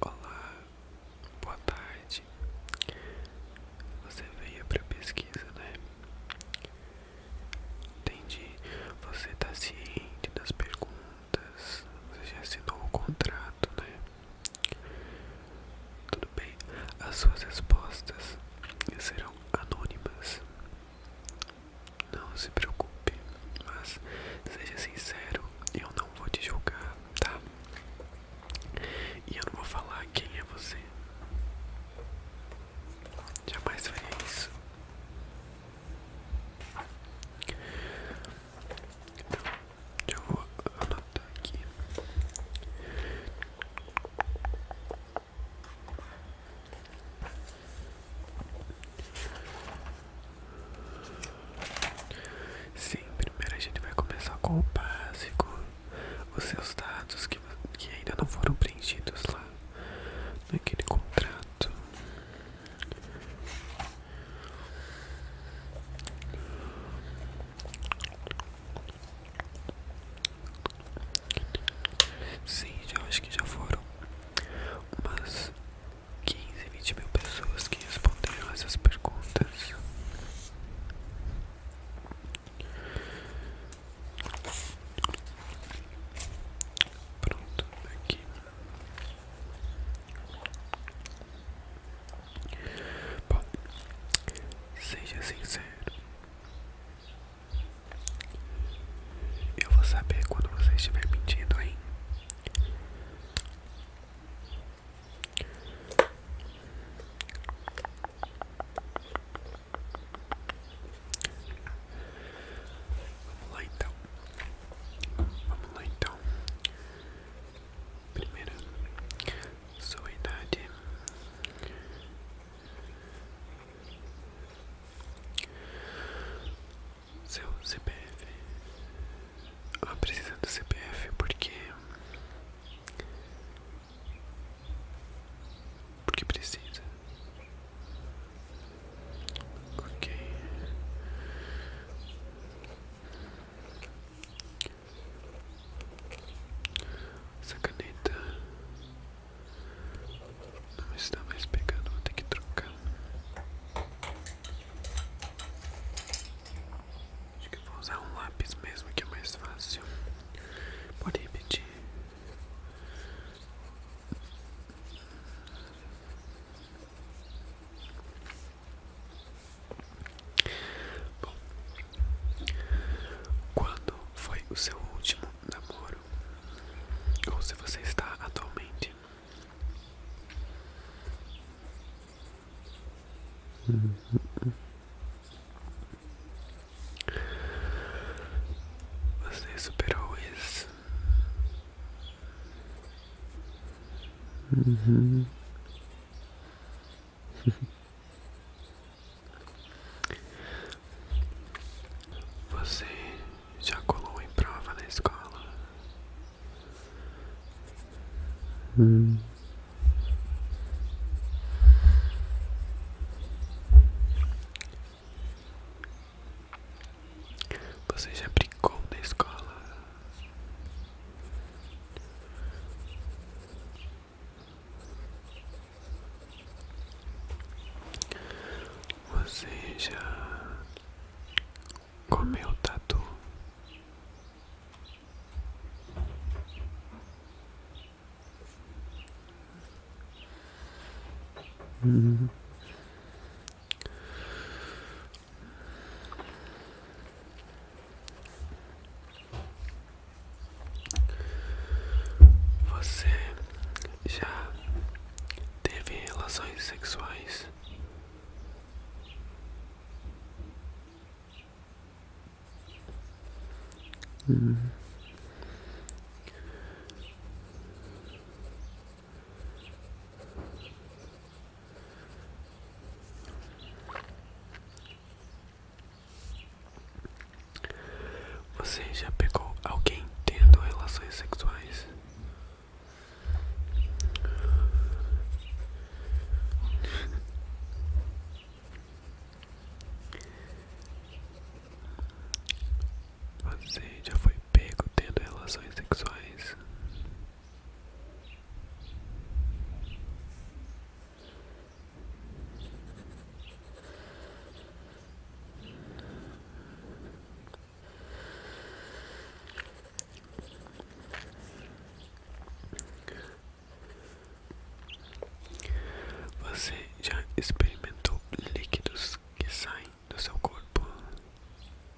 Olá, boa tarde. Você veio para pesquisa, né? Entendi. Você tá ciente das perguntas? Você já assinou o contrato, né? Tudo bem. As suas respostas serão anônimas. Não se preocupe, mas seja sincero, eu não vou te julgar, tá? E eu não vou falar quem é você. Jamais faria isso. Então, eu vou anotar aqui. Sim, primeiro a gente vai começar com o básico, os seus dados que, ainda não foram preenchidos lá naquele contrato. Sim, já acho que já foram umas 15, 20 mil pessoas que responderam essas perguntas. Pronto, tá aqui. Bom, seja sincero. Eu vou saber quando você estiver mentindo, hein? Vamos lá então. Vamos lá então. Primeiro, sua idade. Seu CPF. precisa do CPF porque. Porque precisa. Ok. Essa caneta não está mais pegando, vou ter que trocar. Acho que vou usar um lápis mesmo que é mais fácil. Pode repetir. Bom, quando foi o seu último namoro? Ou se você está atualmente? Você superou isso? Você já colou em prova na escola? Hum. Você já brincou na escola? Você já comeu tatu? Hum. Você já teve relações sexuais? Você já pegou alguém tendo relações sexuais? Você já foi pego tendo relações sexuais? Você já experimentou líquidos que saem do seu corpo?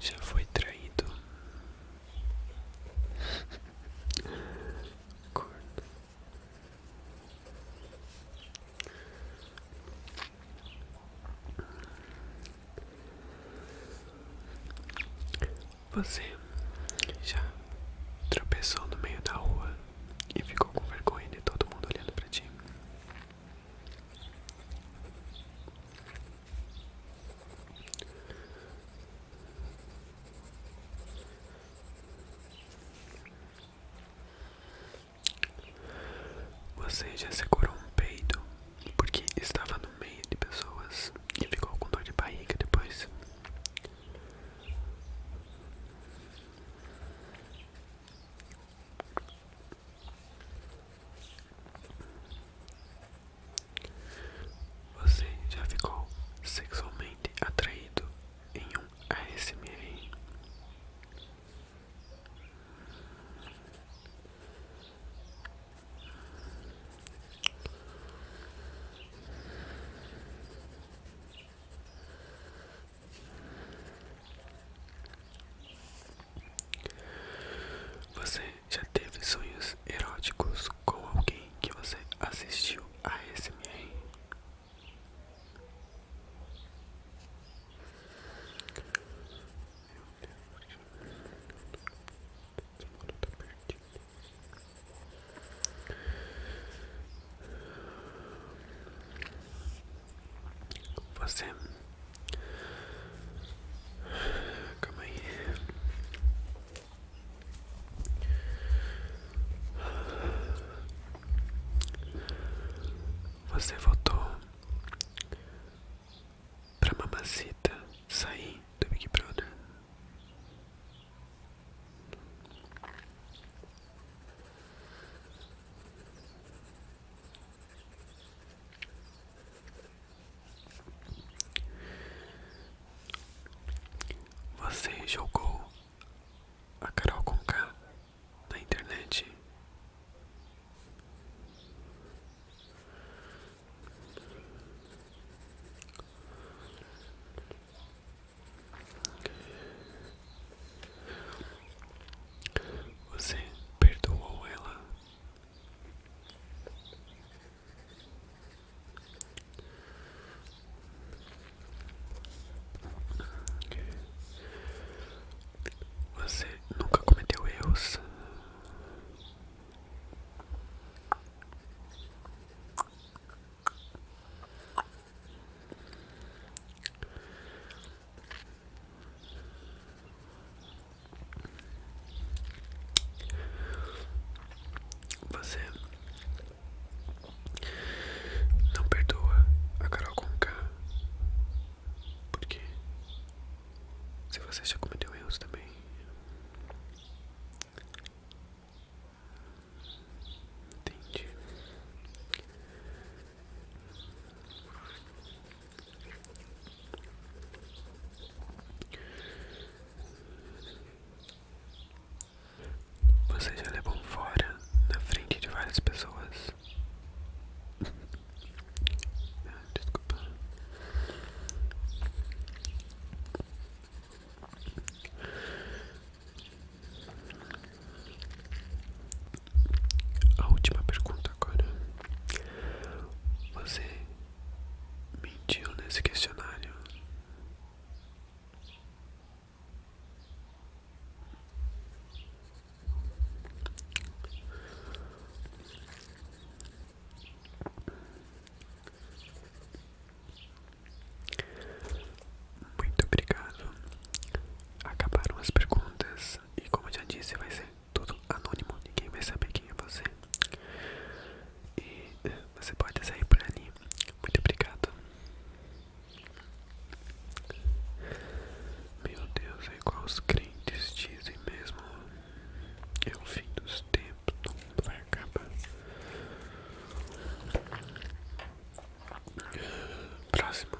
Já foi traído. Você já tropeçou no meio da rua e ficou com vergonha de todo mundo olhando pra ti. Você já segurou um peito porque estava no meio de pessoas e ficou com dor de barriga depois. Você já ficou sexualmente atraído em um ASMR? Você já teve sonhos eróticos com alguém que você assistiu a SMR? Meu Deus, tá perdido. Você. Calma aí. Você votou pra mamacita sair do Big Brother. Você jogou a Carol com K na internet? Você perdoou ela? Você nunca cometeu erros? Você não perdoa a Carol Conká porque se você já cometeu erros também Entendi. Você já levou fora na frente de várias pessoas. Ah, desculpa. A última pergunta agora. Você mentiu nesse questionário? Muito obrigado. Acabaram as perguntas e como eu já disse vai ser tudo anônimo, ninguém vai saber quem é você. E eh, você pode sair por ali. Muito obrigado. Meu Deus, é igual os crentes dizem mesmo. É o fim dos tempos, todo vai acabar. Próximo.